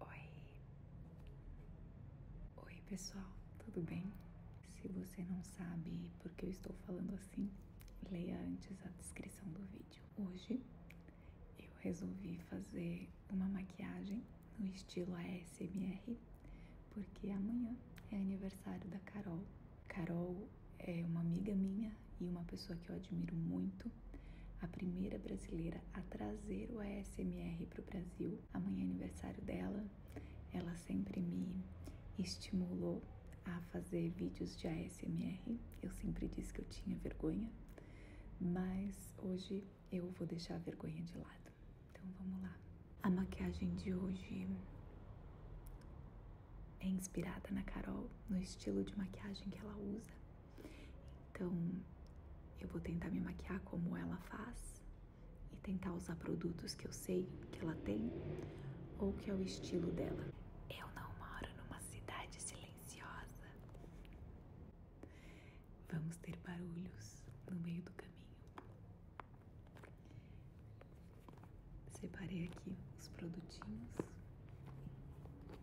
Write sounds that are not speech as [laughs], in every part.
Oi! Oi, pessoal, tudo bem? Se você não sabe por que eu estou falando assim, leia antes a descrição do vídeo. Hoje eu resolvi fazer uma maquiagem no estilo ASMR, porque amanhã é aniversário da Carol. Carol é uma amiga minha e uma pessoa que eu admiro muito a primeira brasileira a trazer o ASMR para o Brasil. Amanhã é aniversário dela, ela sempre me estimulou a fazer vídeos de ASMR. Eu sempre disse que eu tinha vergonha, mas hoje eu vou deixar a vergonha de lado. Então vamos lá. A maquiagem de hoje é inspirada na Carol, no estilo de maquiagem que ela usa. Então, eu vou tentar me maquiar como ela faz e tentar usar produtos que eu sei que ela tem ou que é o estilo dela. Eu não moro numa cidade silenciosa. Vamos ter barulhos no meio do caminho. Separei aqui os produtinhos.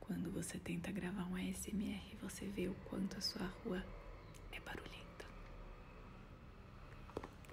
Quando você tenta gravar um ASMR, você vê o quanto a sua rua é barulhenta.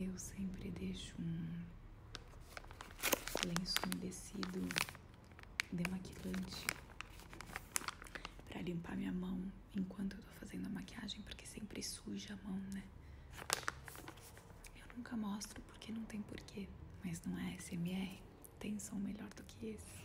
Eu sempre deixo um lenço um tecido, demaquilante para limpar minha mão enquanto eu tô fazendo a maquiagem, porque sempre suja a mão, né? Eu nunca mostro porque não tem porquê, mas não é SMR, tem som melhor do que esse.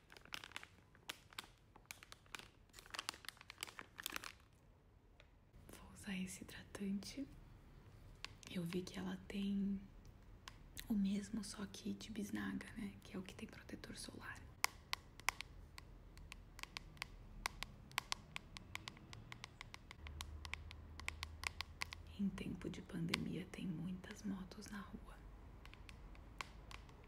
Vou usar esse hidratante. Eu vi que ela tem o mesmo, só que de bisnaga, né? Que é o que tem protetor solar. Em tempo de pandemia, tem muitas motos na rua.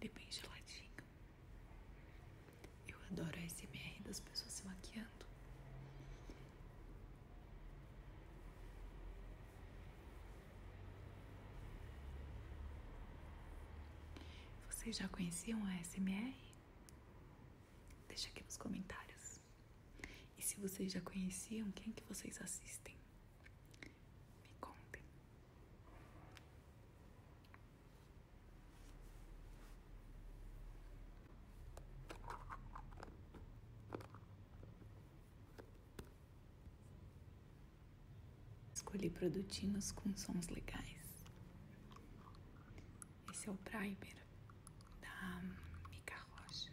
Ele é bem geladinho. Eu adoro a SMR das pessoas se maquiando. Vocês já conheciam a SMR? Deixa aqui nos comentários. E se vocês já conheciam, quem que vocês assistem? Me contem. Escolhi produtinhos com sons legais. Esse é o primer da Mica Rocha.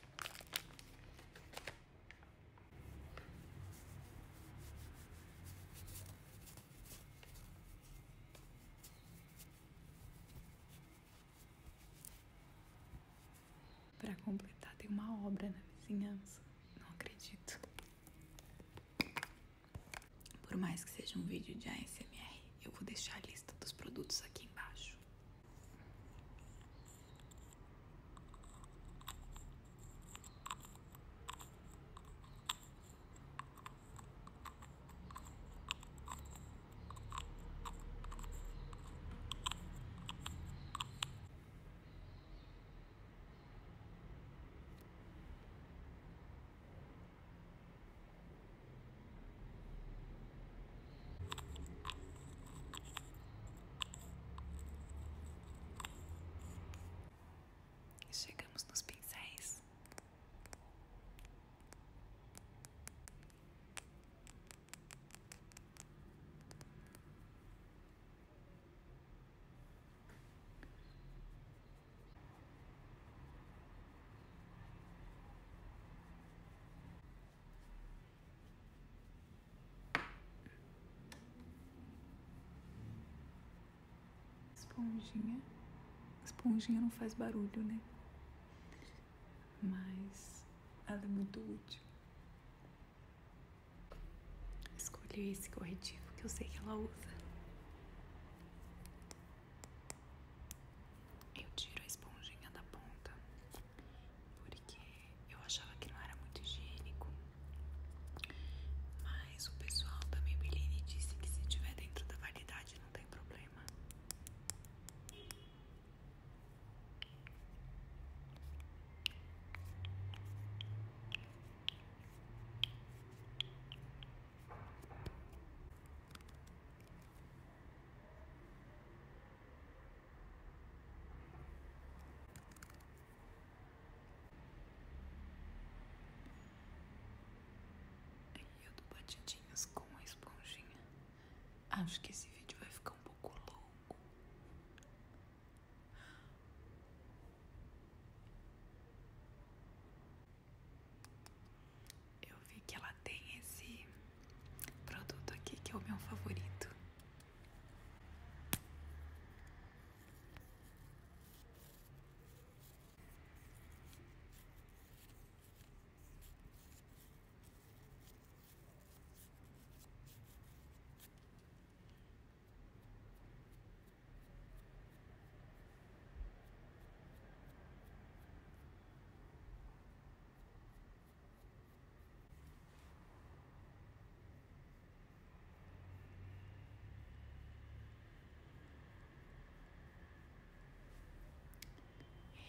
Para completar, tem uma obra na vizinhança. Não acredito. Por mais que seja um vídeo de ASMR. Eu vou deixar a lista dos produtos aqui embaixo. Chegamos nos pincéis. Esponjinha. Esponjinha não faz barulho, né? Mas ela é muito útil. Escolhi esse corretivo que eu sei que ela usa. Eu tiro a esponjinha da ponta porque eu achava que não era muito higiênico. Mas o pessoal da Maybelline disse que se tiver dentro da validade não tem problema eu dou batidinhas com a esponjinha. Acho que esse vídeo vai ficar um pouco longo eu vi que ela tem esse produto aqui que é o meu favorito.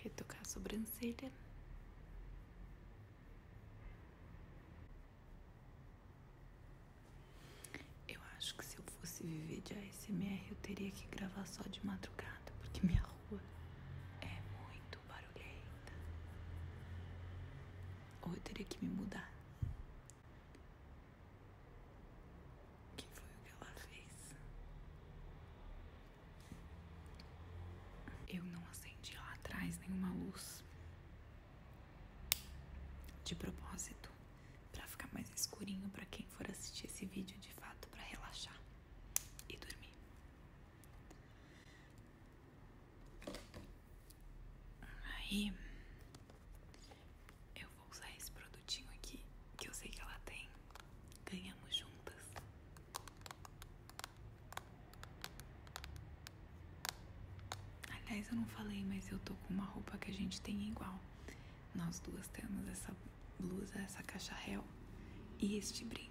Retocar a sobrancelha. Eu acho que se eu fosse viver de ASMR, eu teria que gravar só de madrugada, porque minha rua é muito muito barulhenta. Ou eu teria que me mudar. Que foi o que ela fez? Eu não acendi lá atrás nenhuma luz. De propósito, para ficar mais escurinho para quem for assistir esse vídeo de fato para relaxar e dormir. Aí eu vou usar esse produtinho aqui que eu sei que ela tem. Ganhamos juntas. Aliás, eu não falei, mas eu tô com uma roupa que a gente tem igual. Nós duas temos essa blusa, essa caixa réu e este brinco.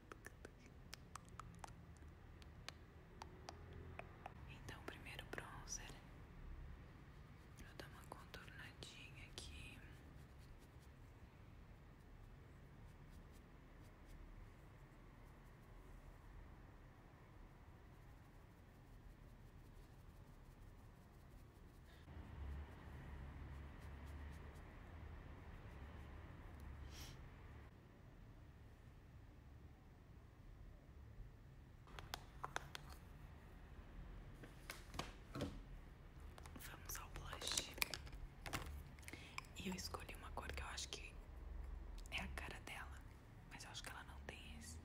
Então, primeiro bronzer, eu dou uma contornadinha aqui. Vamos ao blush. E eu escolhi uma cor que eu acho que é a cara dela, mas eu acho que ela não tem esse.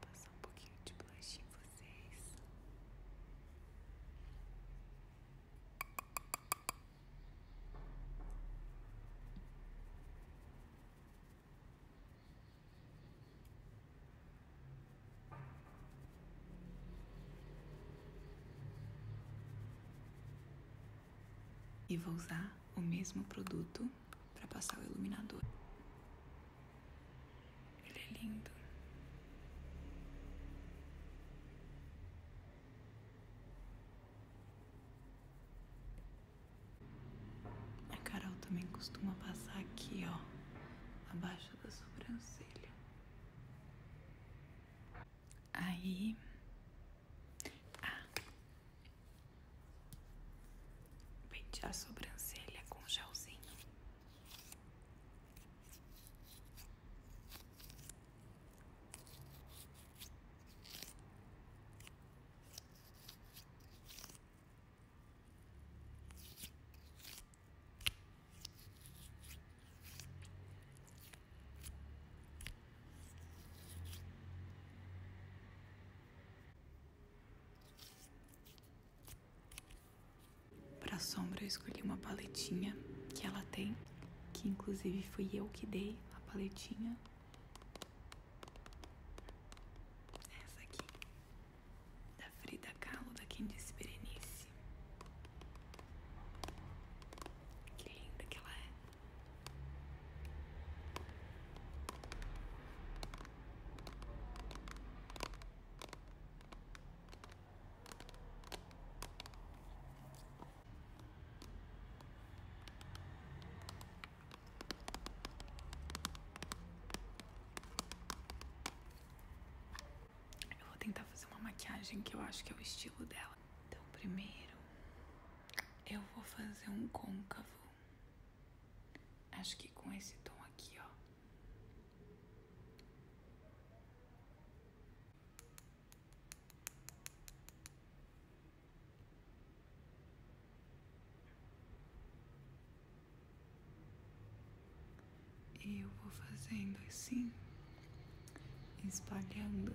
Passar um pouquinho de blush em vocês. E vou usar o mesmo produto para passar o iluminador. Ele é lindo. A Carol também costuma passar aqui, ó, abaixo da sobrancelha. Aí. Ah. Pentear a sobrancelha com gelzinho. Para sombra eu escolhi uma paletinha que ela tem, que inclusive fui eu que dei a paletinha. Essa aqui da Frida Kahlo, da Candice Berenice. Que linda que ela é. Eu vou tentar fazer uma maquiagem que eu acho que é o estilo dela. Então, primeiro, eu vou fazer um côncavo. Acho que com esse tom aqui, ó. E eu vou fazendo assim, espalhando.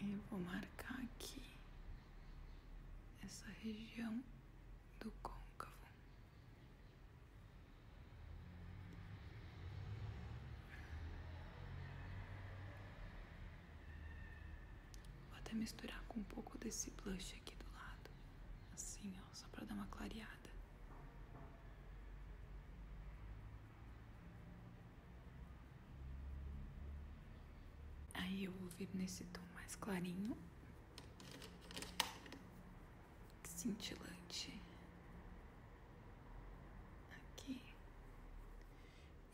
E vou marcar aqui essa região do côncavo. Vou até misturar com um pouco desse blush aqui do lado. Assim, ó, só pra dar uma clareada. Aí eu vou vir nesse tom mais clarinho. Cintilante. Aqui.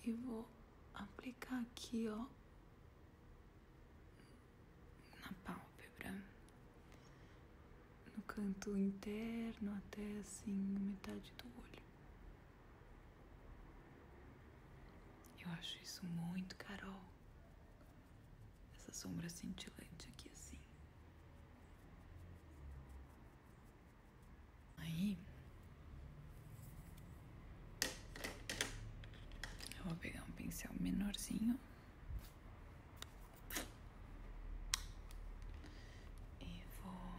E vou aplicar aqui, ó, na pálpebra, no canto interno até assim, metade do olho. Eu acho isso muito Carol. Essa sombra cintilante aqui assim. Aí. Eu vou pegar um pincel menorzinho. E vou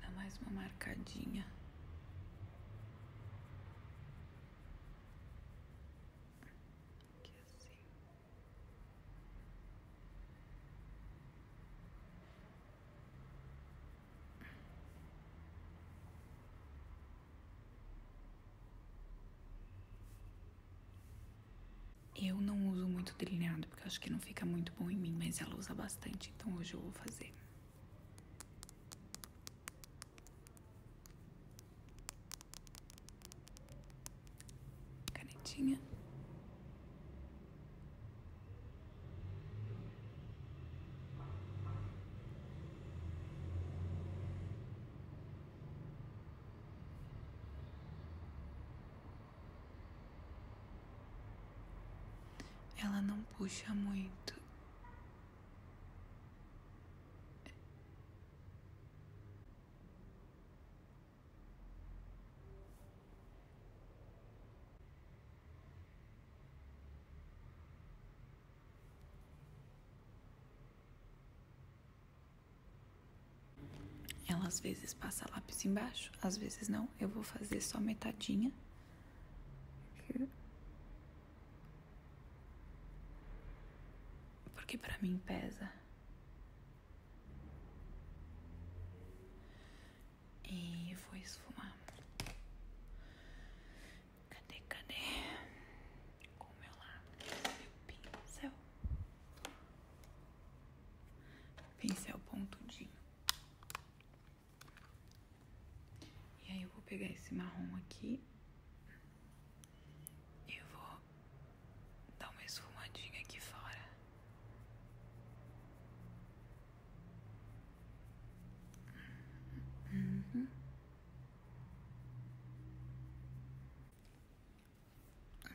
dar mais uma marcadinha. Que assim. Eu não uso muito delineado porque acho que não fica muito bom em mim, mas ela usa bastante, então hoje eu vou fazer. Canetinha. Ela não puxa muito. Ela às vezes passa lápis embaixo, às vezes não. Eu vou fazer só metadinha. Porque para mim pesa. E vou esfumar. Cadê, cadê? Com o meu lápis, meu pincel. Pincel pontudinho. E aí eu vou pegar esse marrom aqui. E vou dar uma esfumadinha aqui fora.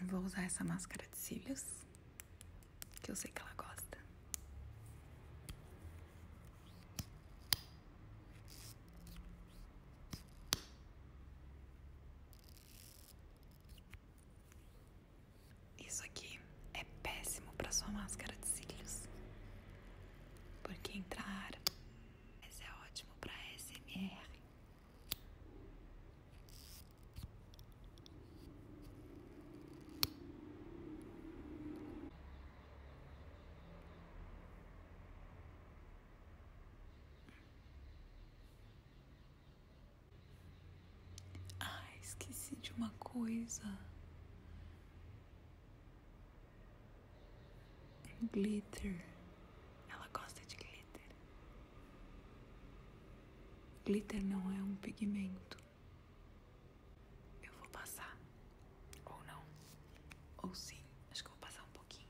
Vou usar essa máscara de cílios, que eu sei que ela gosta. Isso aqui é péssimo para sua máscara de cílios, porque entra ar, mas é ótimo para SMR. Ah, esqueci de uma coisa. Glitter. Ela gosta de glitter. Glitter não é um pigmento. Eu vou passar. Ou não. Ou sim. Acho que vou passar um pouquinho.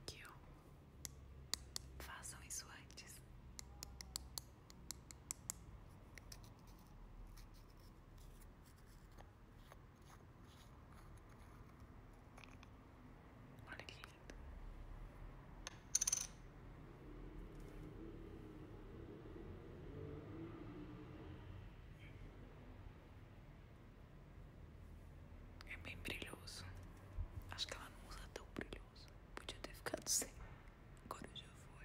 Aqui, ó. Façam isso antes. Olha que lindo. É bem brilhoso. Acho que ela não usa tão brilhoso. Podia ter ficado sem. Agora já foi.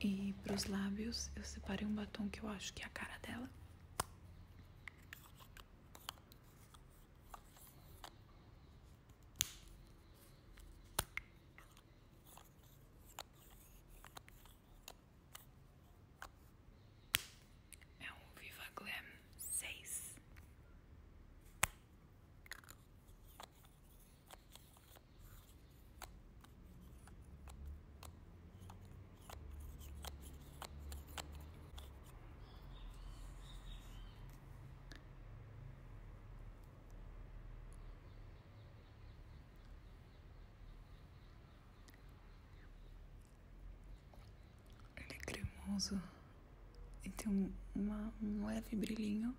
E para os lábios, eu separei um batom que eu acho que é a cara dela. É um Viva Glam seis. Ele é cremoso e tem um, um leve brilhinho.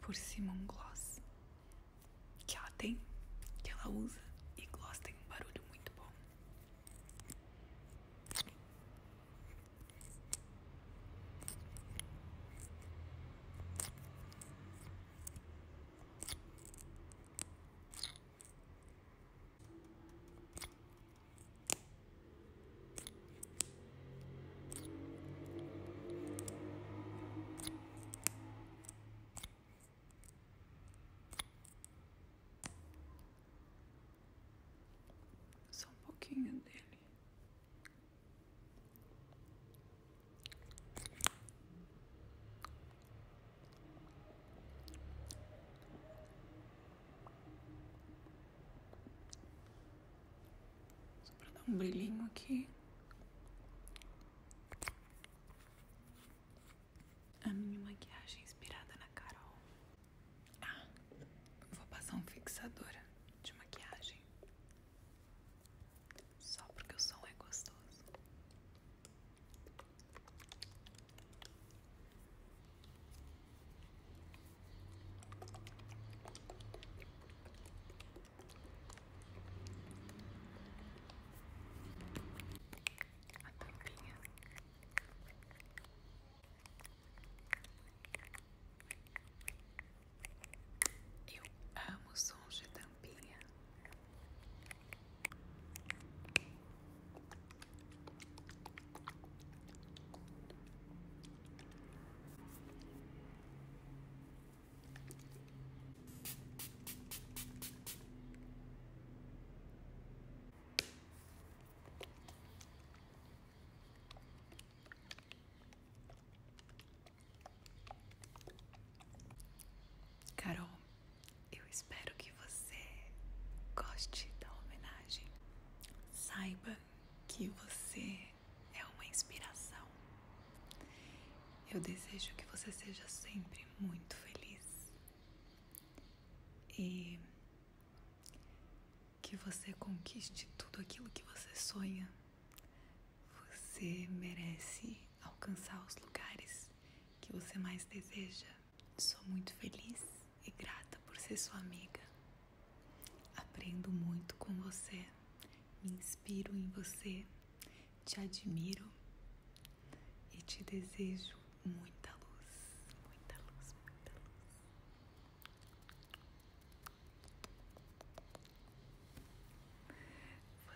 Por cima um gloss que ela tem, que ela usa e gloss tem um barulho muito bom. Só um pouquinho dele. Só pra dar um brilhinho aqui. A minha maquiagem inspirada na Carol. Ah, vou passar um fixador de maquiagem. Só porque o som é gostoso. A tampinha. Eu amo sons de tampinha. Carol, eu espero que você goste da homenagem. Saiba que você é uma inspiração. Eu desejo que você seja sempre muito feliz e que você conquiste tudo aquilo que você sonha. Você merece alcançar os lugares que você mais deseja. Sou muito feliz e grata por ser sua amiga. Aprendo muito com você, me inspiro em você, te admiro e te desejo muita luz, muita luz, muita luz.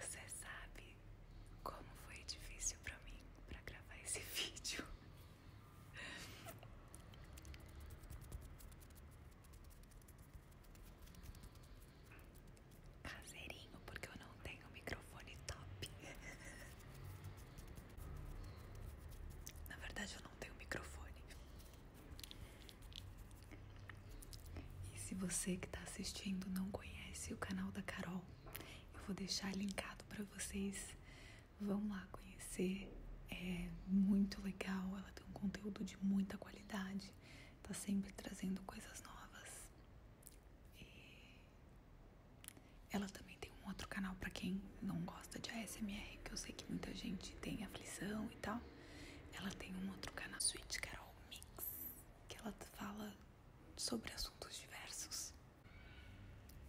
Você sabe como foi difícil para mim para gravar esse [laughs] vídeo. Caseirinho, porque eu não tenho microfone top. Na verdade, eu não tenho microfone. E se você que está assistindo não conhece o canal da Carol, eu vou deixar linkado para vocês. Vão lá conhecer. É muito legal, ela tem um conteúdo de muita qualidade tá sempre trazendo coisas novas. E ela também tem um outro canal para quem não gosta de ASMR, que eu sei que muita gente tem aflição e tal. Ela tem um outro canal, Sweet Carol Mix, que ela fala sobre assuntos diversos.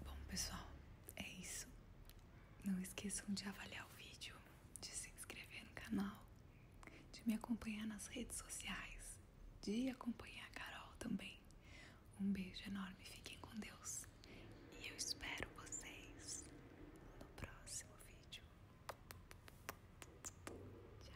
Bom, pessoal, é isso. Não esqueçam de avaliar o vídeo, de se inscrever no canal, de me acompanhar nas redes sociais, de acompanhar a Carol também. Um beijo enorme, fiquem com Deus e eu espero vocês no próximo vídeo. Tchau!